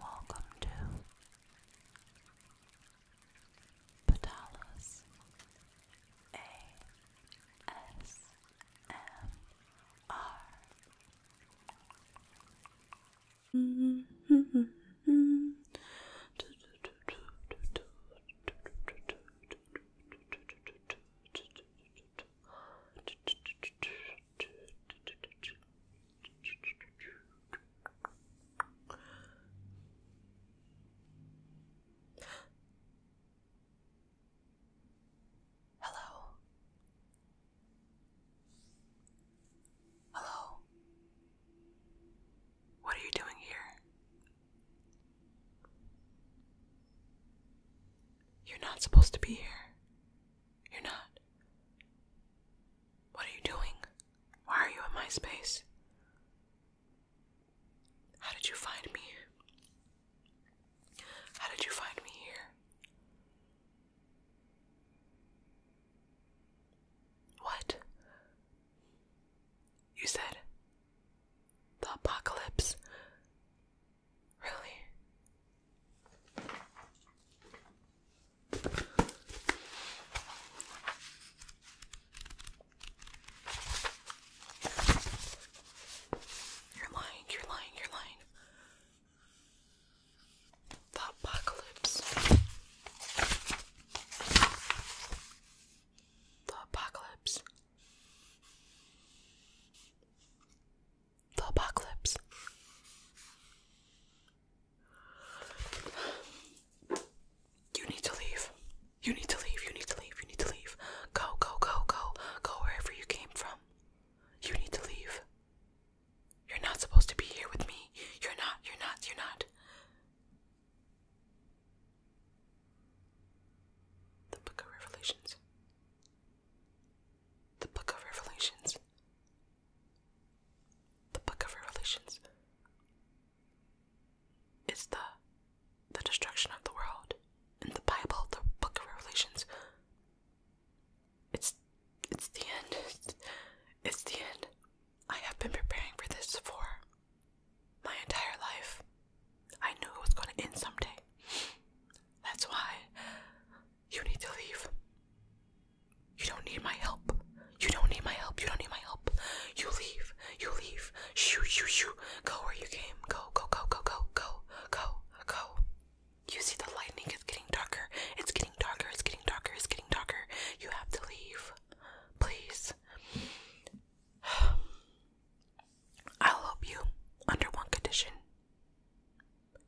Welcome to Padalas ASMR. Hello. Hello. What are you doing here? You're not supposed to be here. You're not. What are you doing? Why are you in my space? How did you find me? How did you find me here? What? You said the apocalypse. Really? You're lying, you're lying, you're lying. The apocalypse. The apocalypse the apocalypse. You need to leave. You need to leave. You need to leave. You need to leave. Go, go, go, go. Go wherever you came from. You need to leave. You're not supposed to be here with me. You're not. You're not. You're not. The book of Revelations. The book of Revelations. The Book of Revelations is the the destruction of the world. In the Bible, the Book of Revelations, it's it's the end. it's the end. I have been preparing for this for my entire life. I knew it was going to end someday. That's why you need to leave. You don't need my help. You don't need my help. You don't need my help. You leave. You leave. Shoo, shoo, shoo. Go where you came. Go, go, go, go, go, go, go, go. You see the lightning is getting darker. It's getting darker. It's getting darker. It's getting darker. You have to leave. Please. I'll help you under one condition.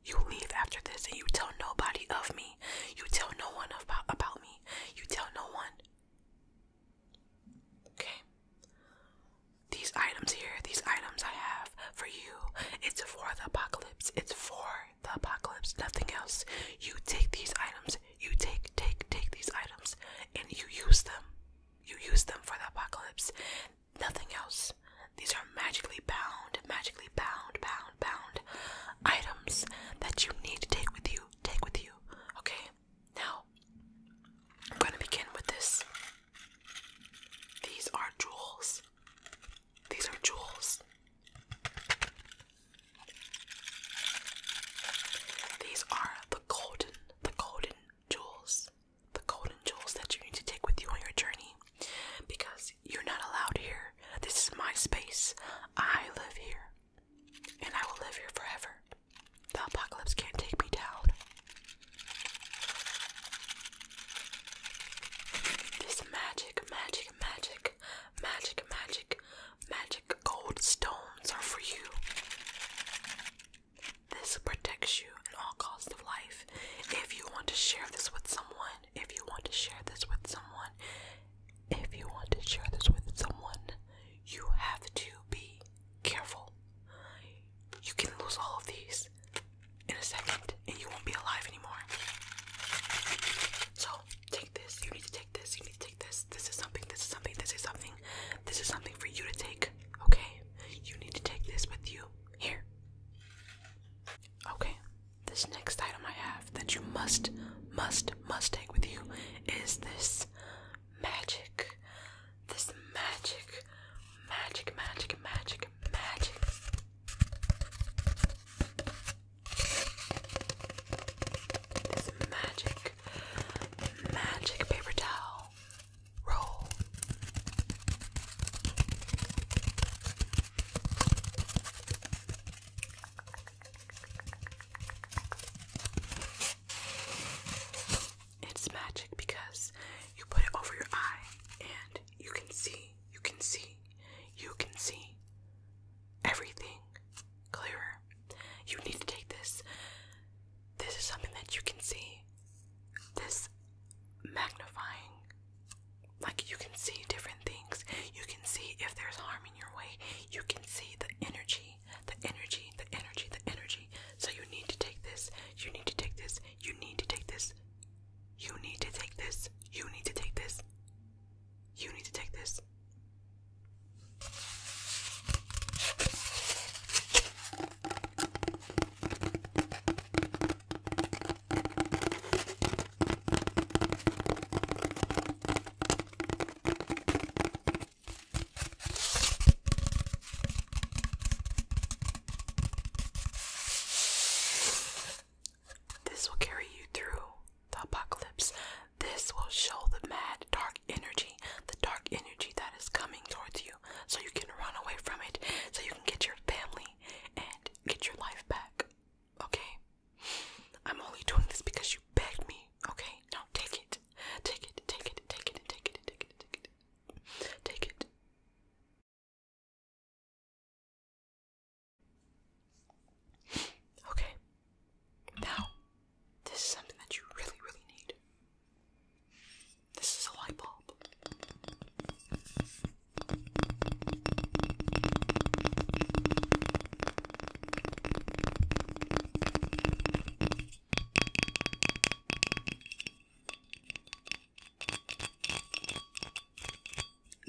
You leave after this and you tell nobody of me. You tell no one about, about me. You tell no one. Okay. These items here, these items I have for you, it's for the apocalypse. It's for the apocalypse, nothing else. You take these items, you take, take, take these items, and you use them. You use them for the apocalypse nothing else. These are magically bound, magically bound, bound, bound items that you need to take with you, take with you. Okay, now I'm going to begin with this. These are jewels. These are jewels. These are the golden, the golden jewels. The golden jewels that you need to take with you on your journey because you're not allowed here. This is my space. I live here. And I will live here forever. The apocalypse can't take me down. This magic, magic, magic, magic, magic, magic gold stones are for you. This protects you in all costs of life. If you want to share this with someone, if you want to share this with someone, if you want to share this with someone, you have to be careful. You can lose all of these in a second and you won't be alive anymore. So, take this. You need to take this. You need to take this. This is something. This is something. This is something. This is something for you to take. Okay? You need to take this with you. Here. Okay. This next item I have that you must, must, must take with you is this magic. This magic, magic, magic, magic, magic. This magic, magic paper towel roll. It's magic because you put it over your eye and you can see, you can see, you can see everything clearer. You need to take this. This is something that you can see. This magnifying like you can see different things. You can see if there's harm in your way. You can see the energy, the energy, the energy, the energy. So you need to take this. You need to take this. You need to take this. You need to take this. You need to take this. You need to take this. This will carry you through the apocalypse. This will show the mad dark energy, the dark energy that is coming towards you, so you can run away from it, so you can get your family and get your life back okay? I'm only doing this because you begged me, okay? Now take it. Take it, take it, take it, take it, take it, take it. Take it. Okay. Now, this is something that you really, really need. This is a light bulb.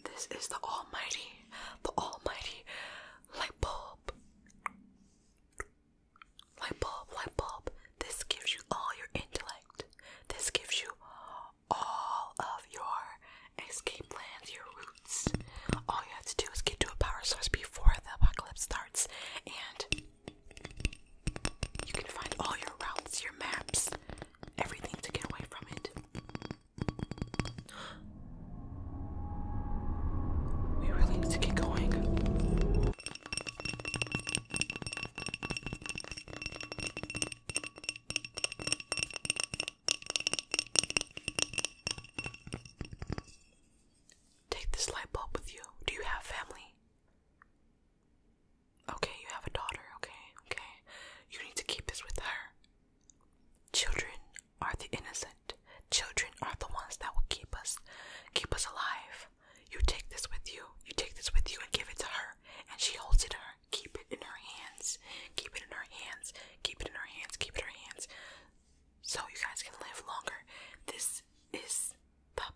This is the almighty, the almighty light bulb. Light bulb, light bulb. This gives you all your intellect. This gives you all of your escape plans, your routes. All you have to do is get to a power source before the apocalypse starts, and you can find all your routes, your maps, everything to get away from it. We really need to get going. Take this light bulb with you. Do you have family? Okay, you have a daughter, okay, okay. You need to keep this with her. Children are the innocent. Children are the ones that will keep us keep us alive. You take this with you. You take this with you and give it to her and she holds it her Keep it in our hands. Keep it in our hands. Keep it in our hands. Keep it in our hands. So you guys can live longer. This is the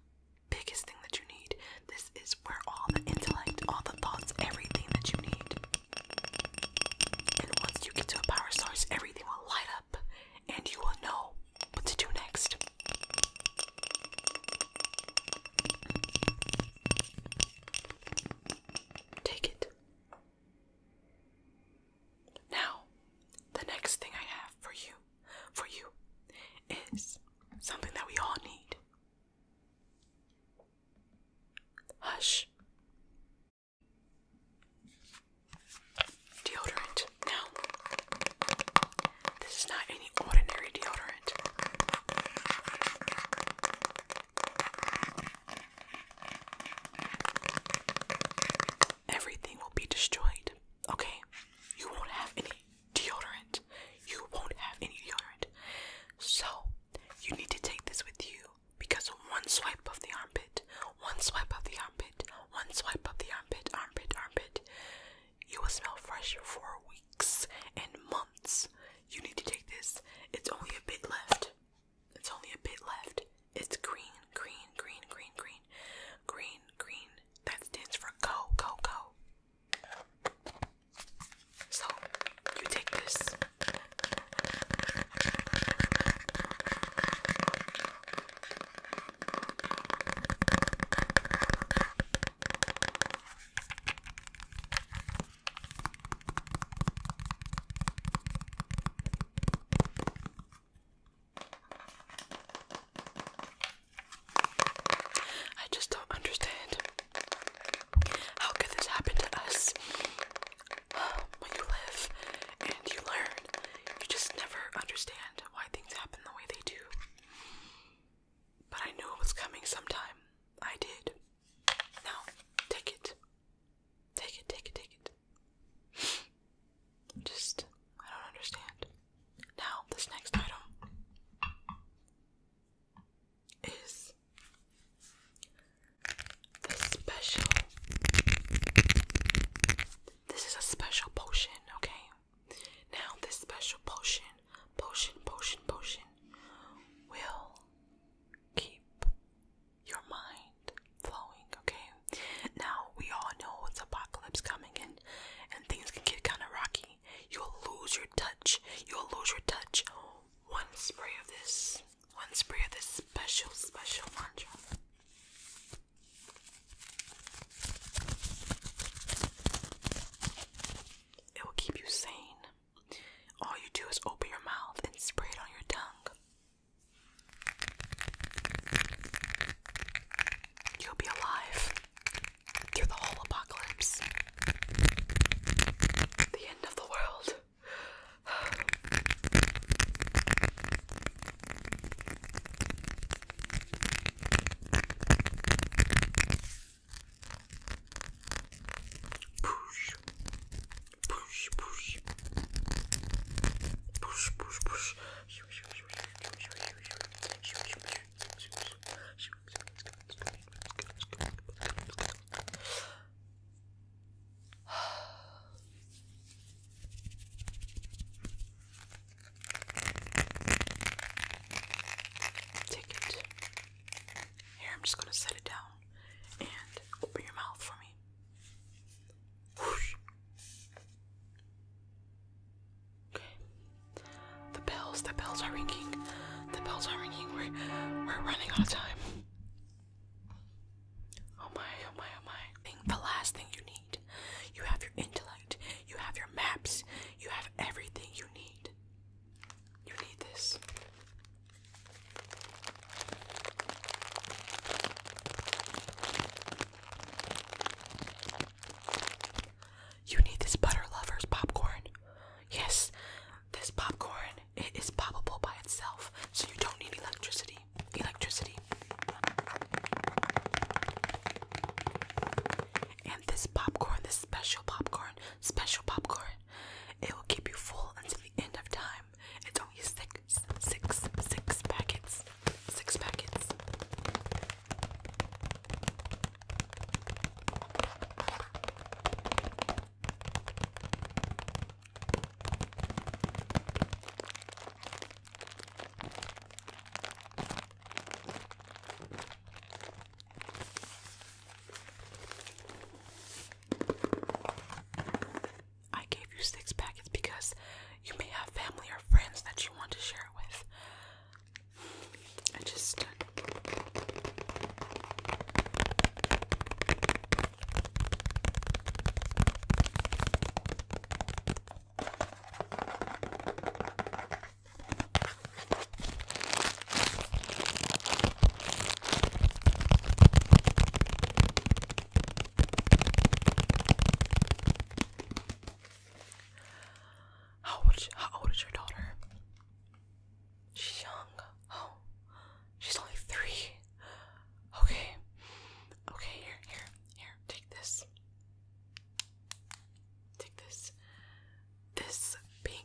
biggest thing that you need. This is where all the intellect, all the thoughts, everything that you need. And once you get to a power source, everything will light up and you will know what to do next. Take it. Now, the next thing I have for you, for you, is something that we all need. Hush. Deodorant. Now, this is not any ordinary deodorant. Everything will be destroyed, okay? You won't have any deodorant. You won't have any deodorant. So, you need to take this with you because one swipe of the armpit, one swipe of the armpit, one swipe of the armpit, armpit, armpit, you will smell fresh for weeks and months you need to take this. It's only a bit left. It's only a bit left. It's green, green, green, green, green, green, green. That stands for go, go, go. So, you take this. I just don't understand how could this happen to us when you live and you learn. You just never understand why things happen the way they do. But I knew it was coming sometime. I did. Now, take it. Take it, take it, take it. Just, I don't understand. Now, this next item is the special. This is a special potion, okay? Now, this special potion, potion, potion, potion will keep your mind flowing, okay? Now, we all know it's apocalypse coming in, and things can get kind of rocky. You'll lose your touch. You'll lose your touch. One spray of this, one spray of this special, special mantra. It will keep you sane. All you do is open your mouth and spray it on your tongue. You'll be alive through the whole apocalypse. The end of the world. Push, push, push, push, push, push. Take it. Here, I'm just gonna set it down and open your mouth for me. The bells, the bells are ringing. The bells are ringing. We're, we're running out of time. Oh my, oh my, oh my. Think the last thing you need. You have your intellect, you have your maps, you have everything you need. You need this. You need this butter lovers popcorn. Yes, this popcorn it is poppable by itself, so you don't need electricity. Electricity. And this popcorn, this special popcorn, special popcorn, it will keep you full until the end of time. It's only six, six, six packets. Six packets. I gave you six packets because you may have family or friends that you want to share it with. I just. How old, is, how old is your daughter? She's young. Oh, she's only three. Okay. Okay, here, here, here. Take this. Take this. This pink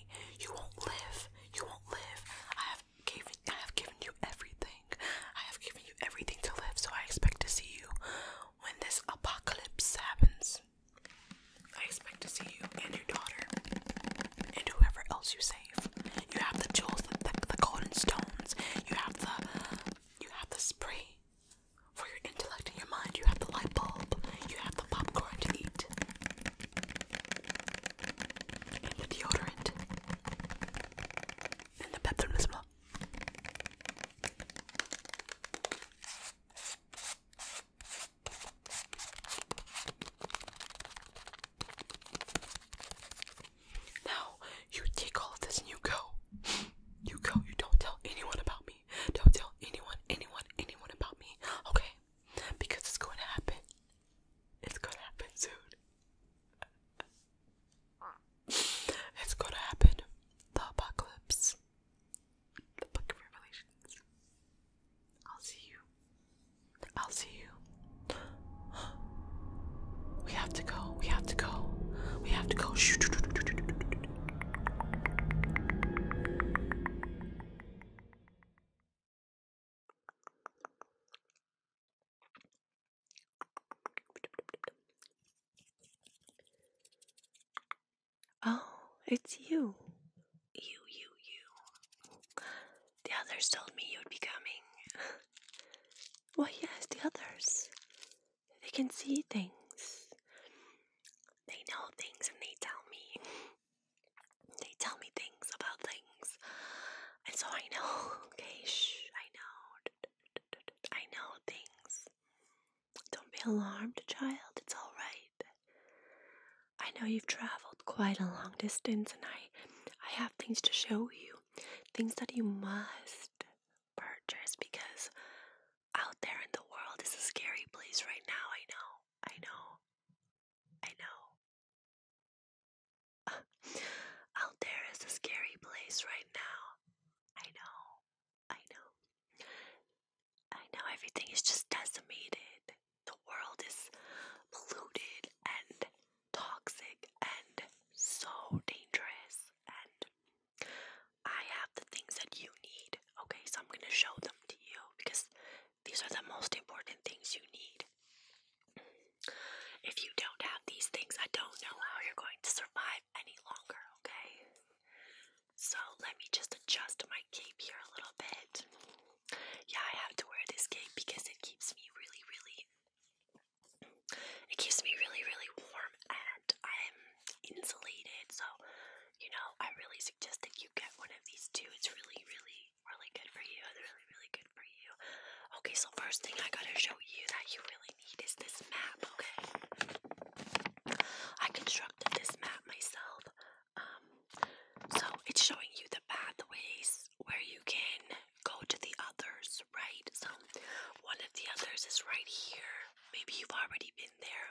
you won't live. You won't live. I have given I have given you everything. I have given you everything to live, so I expect to see you when this apocalypse happens. I expect to see you and your daughter and whoever else you save. You have the jewels, the, the, the golden stones. You have the you have the spray for your intellect and your mind. You have the light bulb. You have the popcorn to eat and the deodorant and the peppermint as well. Now you take all of this and you go. You go. You don't tell anyone about me. Don't tell anyone, anyone, anyone about me. Okay? because it's going to happen. It's going to happen soon. it's going to happen. The apocalypse. The book of Revelations. I'll see you. I'll see you. We have to go. We have to go. We have to go. Oh, it's you. You, you, you. The others told me you'd be coming. well, yes, the others. They can see things. They know things and they tell me. They tell me things about things. And so I know, okay, shh, I know. I know things. Don't be alarmed, child, it's alright. I know you've traveled quite a long distance and I I have things to show you. Things that you must purchase because out there in the world is a scary place right now, I know. I know. I know. Altair is a scary place right now. I know. I know. I know everything is just decimated. The world is polluted and toxic and so dangerous. And I have the things that you need. Okay, so I'm going to show them to you because these are the most important things you need. If you don't have these things, I don't know how you're going to survive any longer, okay? So let me just adjust my cape here a little bit. Yeah, I have to wear this cape because it keeps me really, really it keeps me really, really warm and I'm insulated, so you know, I really suggest that you get one of these two. It's really, really, really good for you. really, really good for you. Okay, so first thing I gotta show you that you really need is this map, okay? I constructed this map myself. Um, so it's showing you the pathways where you can go to the others, right? So one of the others is right here. Maybe you've already been there.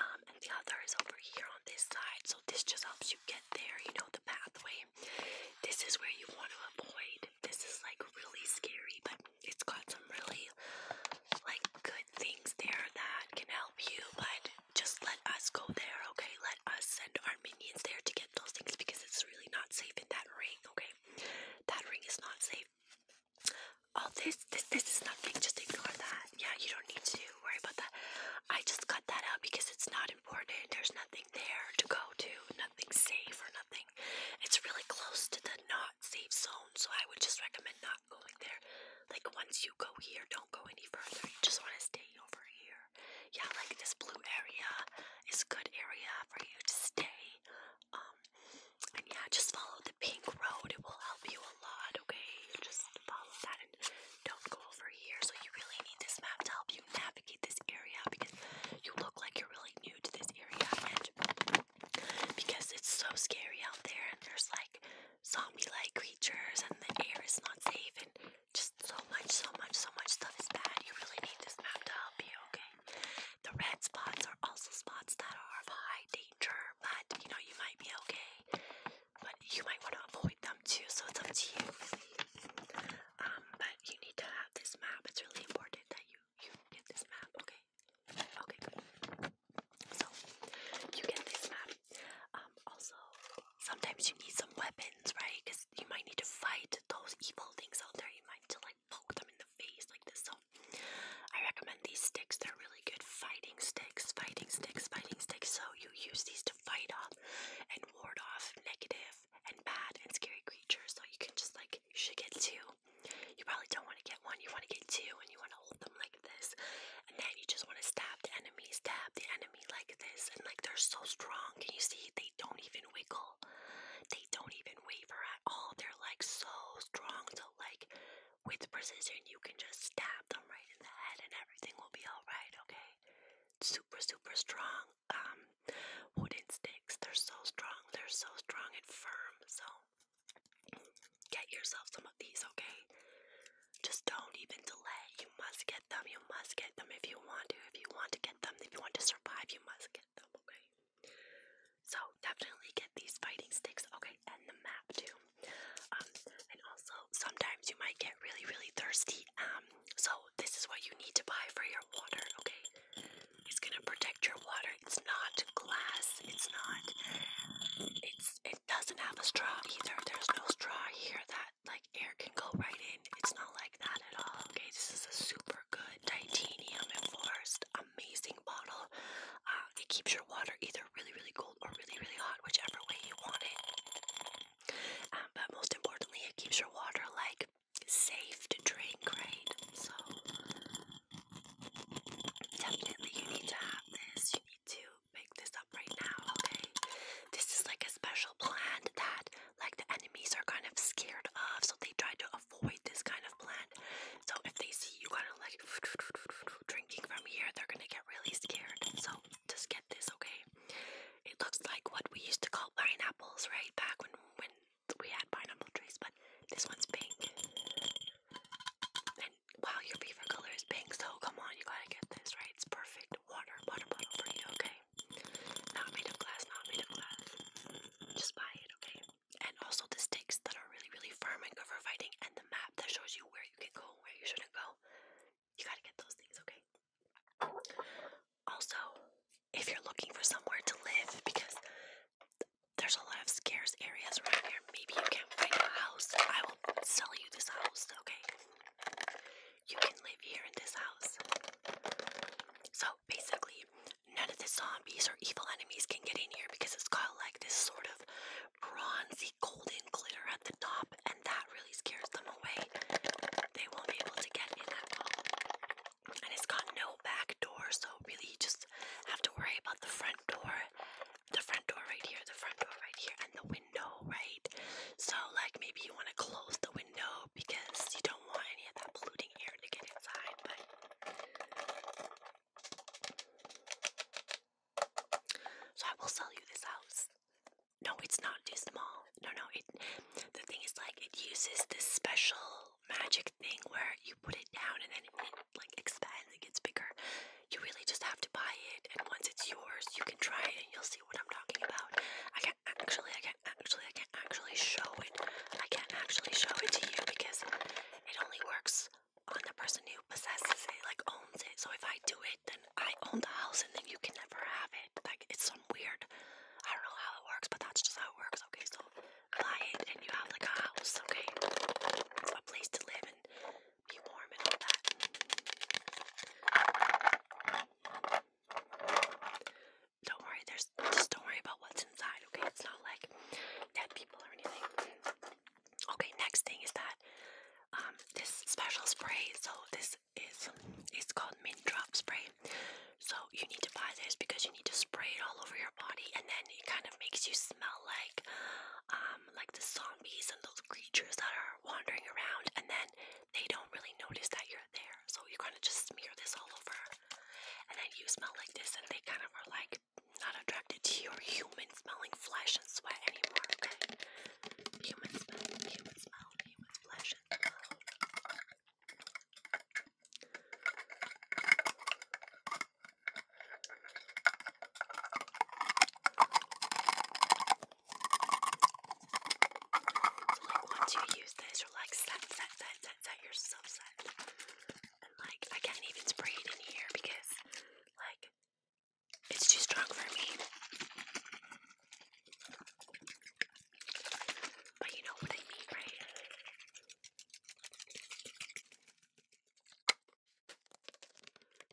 Um, and the other is over here on this side. So this just helps you get there, you know the pathway. This is where you want to avoid. This is like really scary, but it's got some really like good things there that can help you. But just let us go there, okay? Let us send our minions there to get those things because it's really not safe in that ring, okay? That ring is not safe. All this, this, this is nothing. Just ignore that. Yeah, you don't need to worry about that. I just cut that out because it's not important. There's nothing there to go to, nothing safe or nothing. It's really close to the not safe zone, so I would just recommend not going there. Like once you go here, don't go any further. You just want to stay over here. Yeah, like this blue area is a good area for you to stay. Um, and yeah, just follow the pink road. It will help you a lot. Okay, just follow that don't go over here. So you really need this map to help you navigate this area because you look like you're really new to this area and because it's so scary out there and there's like zombie-like creatures and the air is not safe and just so much, so much, so much stuff is bad. You really need this map to help you, okay? The red spots are also spots that are of high danger, but you know you might be okay but you might want to avoid them too, so it's up to you. Um, but you need to have this map. It's really important that you you get this map, okay? Okay, So you get this map. Um, also, sometimes you need some weapons, right? Because you might need to fight those evil things out there. You might need to like poke them in the face like this. So I recommend these sticks. They're really good fighting sticks, fighting sticks, fighting sticks. So you use these fight off and ward off negative and bad and scary creatures. So you can just like, you should get two. You probably don't want to get one, you want to get two, and you want to hold them like this. And then you just want to stab the enemies, stab the enemy like this. And like, they're so strong. And you see? They don't even wiggle, they don't even waver at all. They're like so strong. So, like, with precision, you can just stab them right in the head and everything will be alright, okay? Super, super strong um, wooden sticks. They're so strong. They're so strong and firm. So get yourself some of these, okay? Just don't even delay. You must get them. You must get them if you want to. If you want to get them, if you want to survive, you must get them, okay? So definitely get these fighting sticks, okay? And the map too. Um, and also, sometimes you might get really, really thirsty. Um, so this is what you need to buy for your water. Okay, it's gonna protect your water. It's not glass. It's not. It's. It doesn't have a straw either. There's no straw here that like air can go right in. It's not like that at all. Okay, this is a super good titanium enforced, amazing bottle. Uh, it keeps your water either really, really cold or really, really hot, whichever way you want it. Um, but most importantly, it keeps your water like safe to drink, right? So definitely you need to have this. You need to pick this up right now, okay? This is like a special plant that like the enemies are kind of scared of, so they try to avoid this kind of plant. So if they see you kind of like drinking from here, they're gonna get really scared. So just get this, okay? It looks like what we used to call pineapples, right? Back when when we had pineapple trees, but this one's pink. And wow, your beaver color is pink, so come on, you gotta get this, right? It's perfect water, water bottle for you, okay? Not made of glass, not made of glass. Just buy it, okay? And also the sticks that are really, really firm and good for fighting, and the map that shows you where you can go, where you shouldn't go. You gotta get those things, okay? Also, if you're looking for somewhere to live, because there's a lot of scarce areas around here, maybe you can't a house. I will sell you this house, okay? You can live here in this house. So basically, none of the zombies or evil enemies can get in here because it's got like this sort of bronzy golden glitter at the top that really scares them away. They won't be able to get in at all. And it's got no back door, so really you just have to worry about the front door, the front door right here, the front door right here, and the window, right? So, like, maybe you want to close the window because you don't want any of that polluting air to get inside, but. So, I will sell you this house. No, it's not too small. No, no. It. The thing is, like, it uses this special magic thing where you put it down and then it, like expands. It gets bigger. You really just have to buy it, and once it's yours, you can try it and you'll see what I'm talking about. I can't actually. I can't actually. I can't actually show it. I can't actually show it to you because it only works on the person who possesses it, like owns it. So if I do it, then I own the house and then you can never have it. Like it's some weird I don't know how it works, but that's just how it works. Okay, so buy it and you have like a house, okay? A place to live and be warm and all that. Don't worry, there's just don't worry about what's inside, okay? It's not like dead people or anything. Okay, next thing is that um, this special spray. So this is it's called mint drop spray. So you need to buy this because you need to spray it all over your body, and then it kind of makes you smell like um, like the zombies and those creatures that are wandering around, and then they don't really notice that you're there. So you kind of just smear this all over, and then you smell like this, and they kind of are like not attracted to your human smelling flesh and sweat anymore. Okay. Human smell, human smell, human flesh and blood. once you use this, you're like set, set, set, set, set, you're so set. And like I can't even spray it in here because like it's too strong for me. But you know what I mean, right?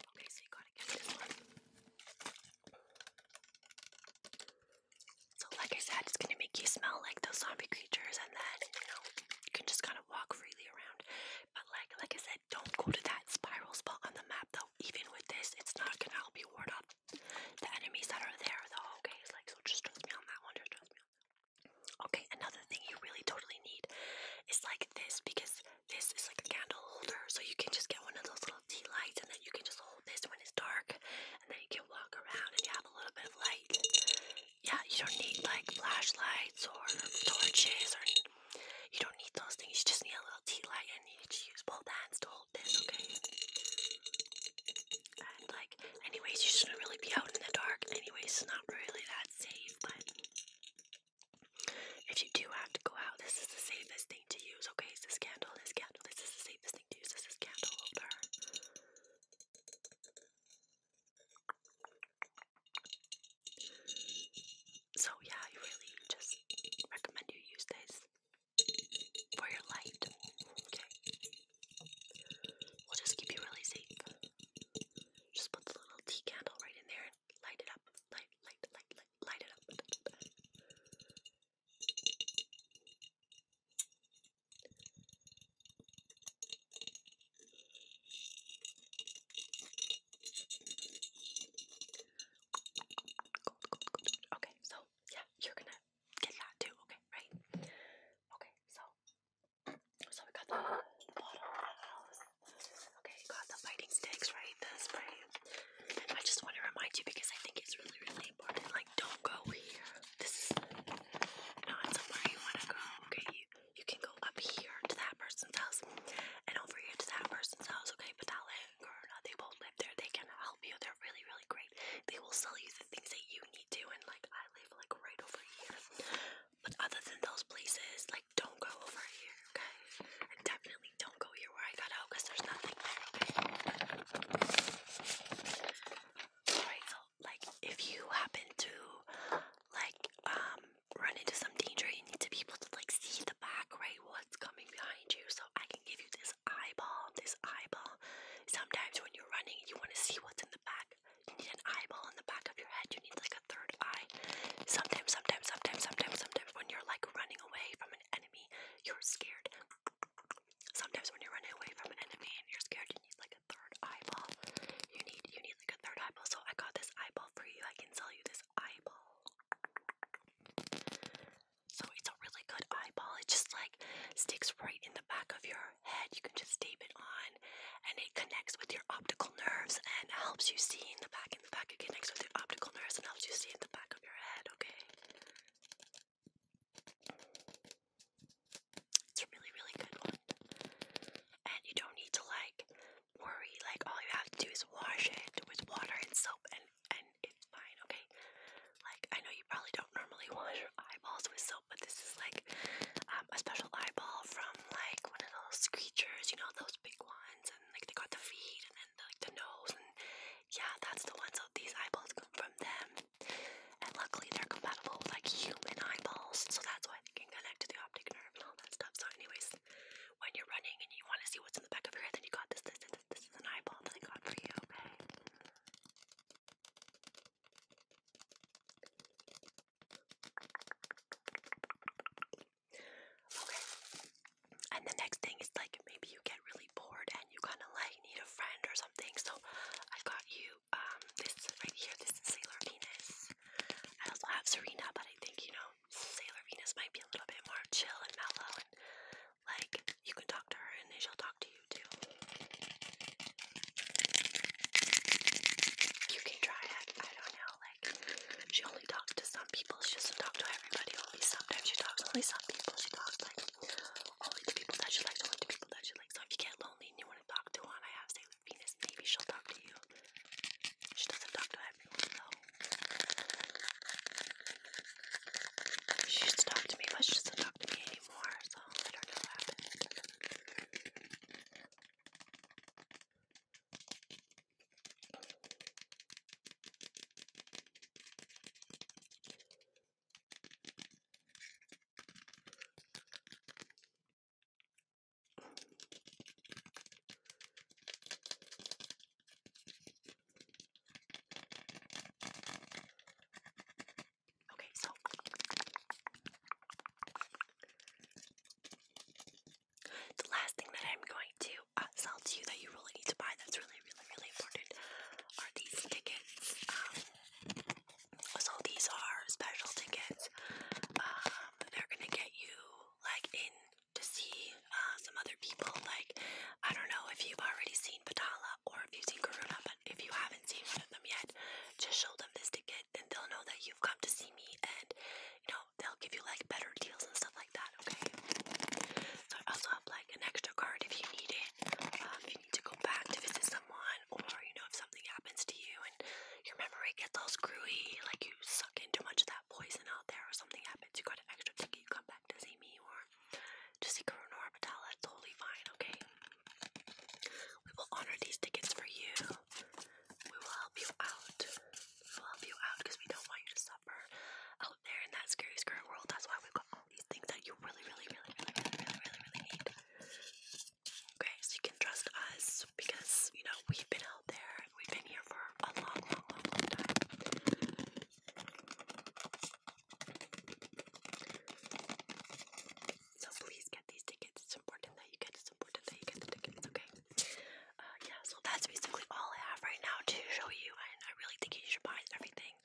Okay, so you gotta get this one. So, like I said, it's gonna make you smell like those zombie creatures, and then you know you can just kind of walk freely around. But like, like I said, don't go to that spiral spot on the map though. Even with this, it's not gonna help you ward off the enemies that are there though, okay? It's like, so just trust me on that one, trust me Okay, another thing you really totally need is like this because this is like a candle holder. So you can just get one of those little tea lights and then you can just hold this when it's dark and then you can walk around and you have a little bit of light. Yeah, you don't need like flashlights or torches or you don't need those things, you just need a little tea light and you just use both hands to hold this, okay? And like, anyways, you shouldn't really be out in the dark anyways, it's not really that safe, but if you do have to go out, this is the safest thing to use, okay? It's this candle, this candle, this is the safest thing to use, this is candle holder. So yeah, I really just recommend you use this for your light. Okay. We'll just keep you really safe. Just put the little tea candle right in there and light it up. Light, light, light, light, light it up. Okay, so yeah, you're gonna get that too, okay, right? Okay, so so we got the bottle Okay, got the biting sticks, right? The spray. I just want to remind you because I think it's really, really important. Like, don't go here. This is not somewhere you want to go. Okay, you, you can go up here to that person's house and over here to that person's house. Okay, but that Karuna. They both live there. They can help you. They're really, really great. They will sell you the things that you need to. And like I live like right over here. But other than those places, like don't go over here, okay? And definitely don't go here where I got out because there's nothing there, okay? Alright, so like if you happen to like um run into some danger, you need to be able to like see the back, right? what's coming behind you. So I can give you this eyeball, this eyeball. Sometimes when you're running, you want to see what's in the back. You need an eyeball in the back of your head. You need like a third eye. Sometimes, sometimes, sometimes, sometimes, sometimes when you're like running away from an enemy, you're scared. Sometimes when you're running away from an enemy and you're scared, you need like a third eyeball. You need you need like a third eyeball. So I got this eyeball for you. I can sell you this eyeball. So it's a really good eyeball. It just like sticks right in the back of your head. You can just tape it on and it connects with your optical nerves and helps you see in the back. In the back, it connects with your optical nerves and helps you see in the back of your head, okay? It's a really, really good one. And you don't need to like worry, like all you have to do is wash it with water and soap and and it's fine, okay? Like, I know you probably don't normally wash your eyeballs with soap, but this is like um, a special eyeball from like one of those creatures, you know, those big ones, and like they got the feet and then like the nose, and yeah, that's the ones. So these eyeballs come from them, and luckily they're compatible with like human eyeballs, so that's why they can connect to the optic nerve and all that stuff. So, anyways, when you're running and you want to see what's in the back of your head, then you got this, this, this, this is an eyeball that I got for you, okay? Okay. And the next thing is like maybe you get really bored and you kind of like need a friend or something. So I got you um this right here. This is Sailor Venus. I also have Serena, but I think you know Sailor Venus might be a little bit more chill and mellow, and like you can talk to her and she'll talk to you too. You can try I don't know. Like she only talks to some people. She doesn't talk to everybody. Only sometimes she talks. Only some people she talks to. only the people that she likes. Only the people that she likes. So if you get lonely and you want to talk to one, I have Sailor Venus. Maybe she'll talk to you. She doesn't talk to everyone everyone's home. She used to talk to me, but she doesn't talk to me anymore, so I do Okay, so the last thing that I'm going to uh, sell to you that you really need to buy that's really, really, really important are these tickets. Um, so these are special tickets. Um, they're gonna get you like in to see uh, some other people. Like, I don't know if you've already seen Patala or if you've seen Karuna, but if you haven't seen one of them yet, just show them this ticket and they'll know that you've come to see me and, you know, they'll give you like better deals and stuff like that, okay? So I also have like an extra card if you need it. Um, if you need to go back to visit someone or, you know, if something happens to you and your memory gets all screwy, like you suck in too much of that poison out there or something happens you got an extra ticket, you come back to see me or to see Karuna or Patel, that's totally fine, okay? We will honor these tickets for you. We will help you out. We will help you out because we don't want you to suffer out there in that scary, scary world. That's why we've got all these things that you really, really, really, really, really, really, really, really need. Okay, so you can trust us because, you know, we've been out there. We've been here for a long, long, long, long time. So please get these tickets. It's important that you get. It's important that you get the tickets. Okay. Uh, yeah. So that's basically all I have right now to show you, and I really think you should buy everything.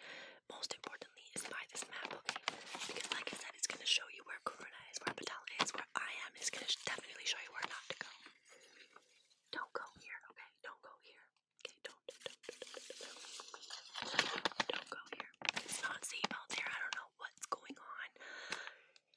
Most importantly, is buy this map, okay? Because like I said, it's gonna show you where Corona is, where Patel is, where I am. It's gonna definitely show you where not to go. Don't go here, okay? Don't go here. Okay, don't, don't, don't, don't go here. It's not safe out there. I don't know what's going on.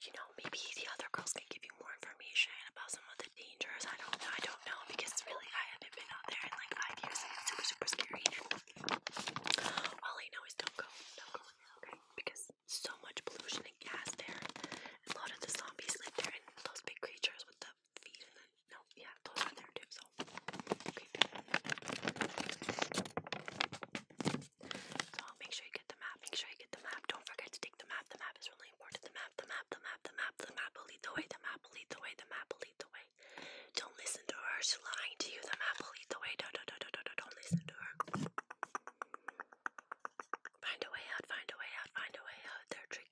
You know, maybe the other girls can give you more information about some of the dangers. I don't know. I don't know because really, I haven't been out there in like five years, it's super, super scary. All I know don't go, don't go okay? Because so much pollution and gas there. A lot of the zombies live there, and those big creatures with the feet and then, no, yeah, toes in there too, so. Okay, so make sure you get the map, make sure you get the map. Don't forget to take the map, the map is really important. The map, the map, the map, the map, the map will lead the way, the map will lead the way, the map will lead the way. Don't listen to her, she's lying to you, the map will lead the way. Don't, don't, don't, don't, don't, don't listen to her. Find a way out, find a way out, find a way out. They're tricking.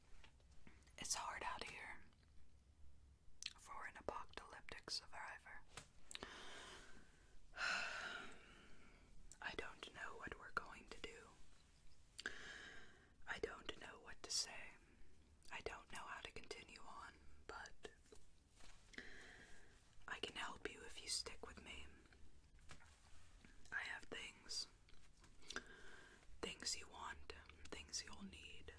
It's hard out here for an apocalyptic survivor. I don't know what we're going to do. I don't know what to say. I don't know how to continue on, but I can help you if you stick with me. I have things Things you want, things you'll need,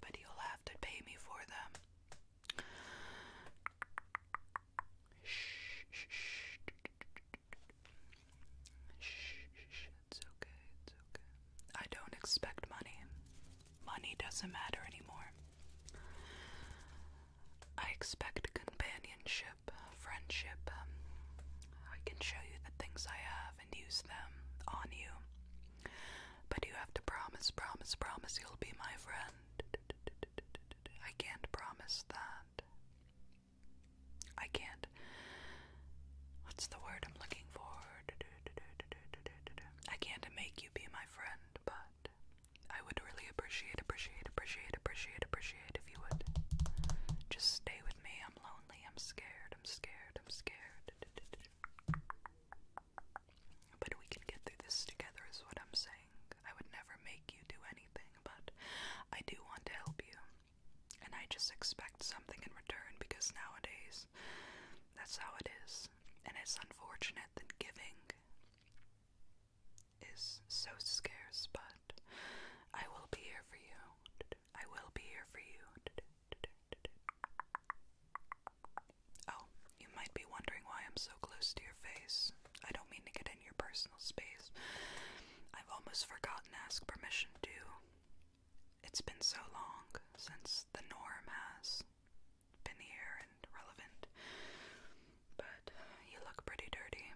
but you'll have to pay me for them. Shh, shh, shh. it's okay, it's okay. I don't expect money. Money doesn't matter anymore. I expect companionship, friendship. I can show you the things I have and use them on you. But you have to promise, promise, promise you'll be my friend. I can't promise that. I can't. What's the word I'm looking for? I can't make you be my friend, but I would really appreciate, appreciate, appreciate, appreciate, appreciate if you would just stay with me. I'm lonely, I'm scared, scared, I'm scared, I'm scared. But we can get through this together, is what I'm saying. I would never make you do anything, but I do want to help you. And I just expect something in return because nowadays that's how it is. And it's unfortunate that giving is so scarce, but I will be here for you. I will be here for you. Oh, you might be wondering why I'm so close to your face. I don't mean to get in your personal space. I've almost forgotten to ask permission to. It's been so long since the norm has been here and relevant. But you look pretty dirty.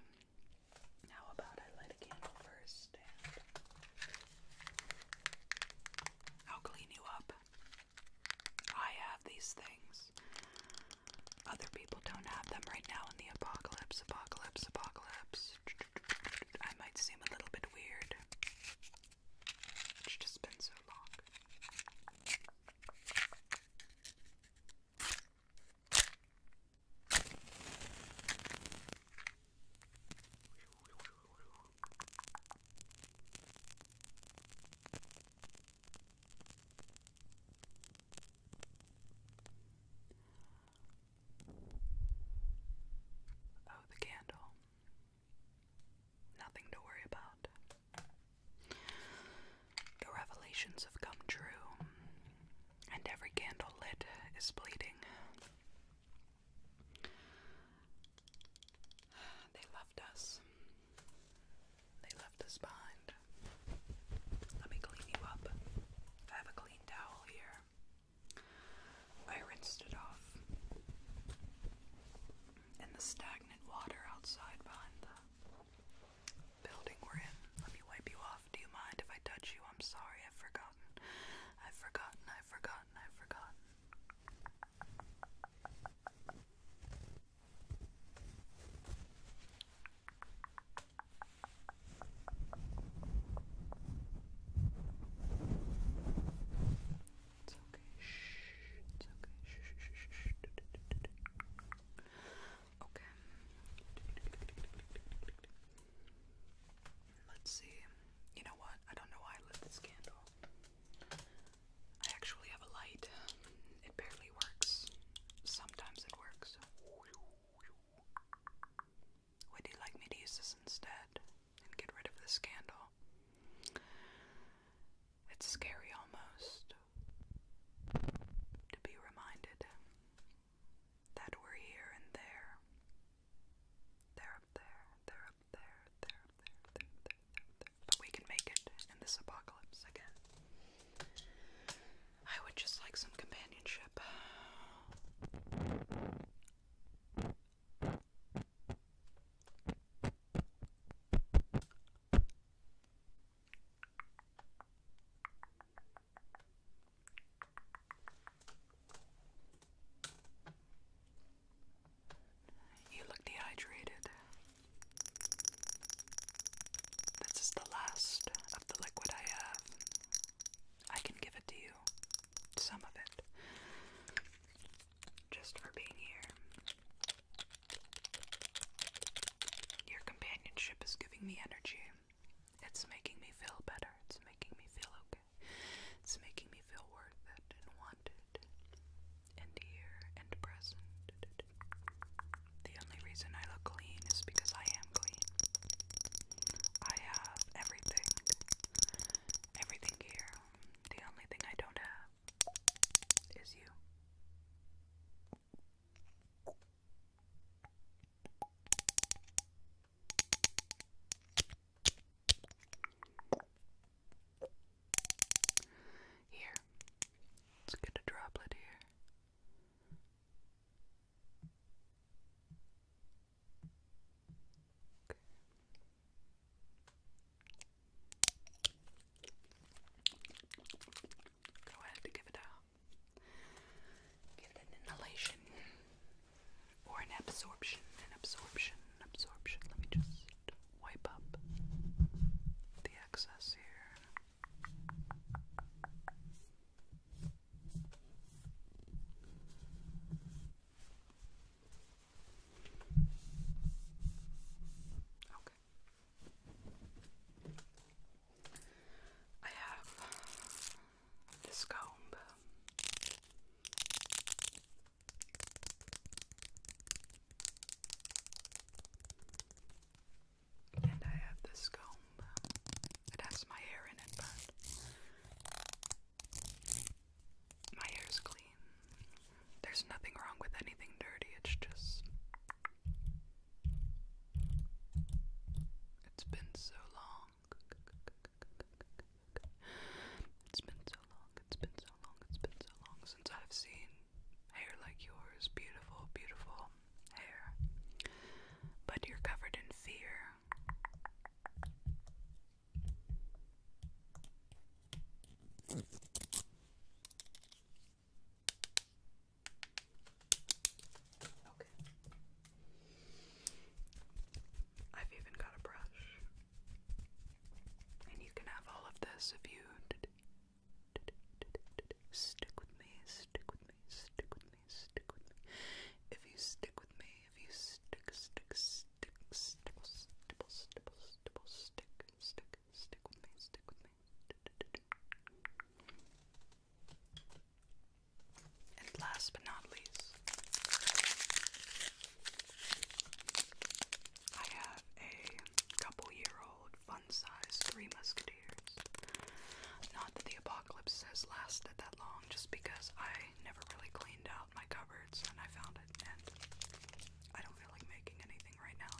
How about I light a candle first and I'll clean you up. I have these things. Other people don't have them right now in the apocalypse, apocalypse, apocalypse. I might seem a little bit weird. It's just been so long. Oh, the candle. Nothing to worry about. The revelations have come true, and every candle lit is bleeding. They left us. They left us behind. Let me clean you up. I have a clean towel here. I rinsed it off. In the stagnant water outside behind the building we're in. Let me wipe you off. Do you mind if I touch you? I'm sorry, I've forgotten. I've forgotten, I've forgotten, I've forgotten. It's okay. Shh. It's okay. Okay. Let's see. You know what? I don't know why I lit this candle. I actually have a light. It barely works. Sometimes it works. Would you like me to use this instead and get rid of this candle? It's scary almost to be reminded that were here and there. They're up there, there, there, there, there. But we can make it in this apocalypse again. I would just like some companionship. You look dehydrated. This is the last of the liquid I have. I can give it to you. Some of it. Just for being here. Your companionship is giving me energy. It's making me feel better. It's making me feel okay. It's making me feel worth it and wanted and here and present. The only reason I look clean is because I am clean. I have everything. Everything here. The only thing I don't have is you. Here, let's get a droplet here. Okay. Go ahead and give it a give it inhalation. Or an absorption, an absorption, absorption. Let me just wipe up the excess here. Okay. I have this comb. And I have this comb. It has my hair in it, but my hair's clean. There's nothing wrong with anything dirty, it's just. It's been so long it's been so long, it's been so long, it's been so long since I've seen hair like yours. Beautiful, beautiful hair. But you're covered in fear. Okay back. I've even got a brush. And you can have all of this if you stick with me, stick with me, stick with me, stick with me. If you stick with me, if you stick, stick, stick, stipple, stipple, stipple, stipple, stick, stick, stick with me, stick with me. And last but not least, I have a couple year old fun size Three Musketeers. Not that the apocalypse has lasted that long, just because I never really cleaned out my cupboards and I found it, and I don't feel like making anything right now,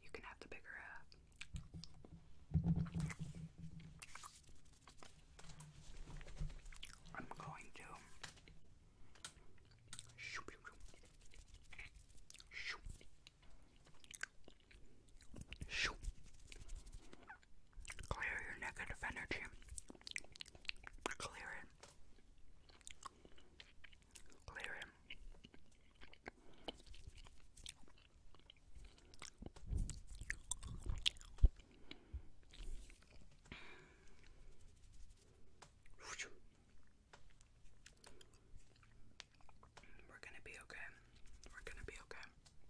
you can have the bigger half. I'm going to Clear your negative energy. Clear it. Clear it. We're gonna be okay. We're gonna be okay.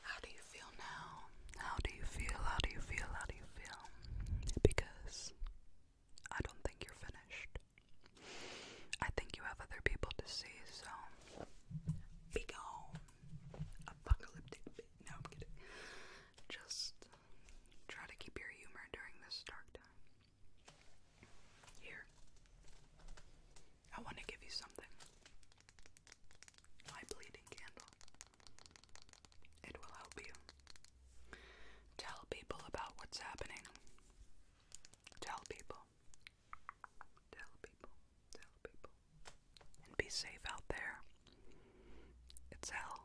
How do you feel now? How do you feel? How do you feel? How do you feel? Because I don't think you're finished. I think you have other people to see, so be gone. Apocalyptic No, I'm kidding. Just try to keep your humor during this dark time. Here. I want to give you something. My bleeding candle. It will help you. Tell people about what's happening. Tell people. Tell people. Tell people. And be safe out there. It's hell.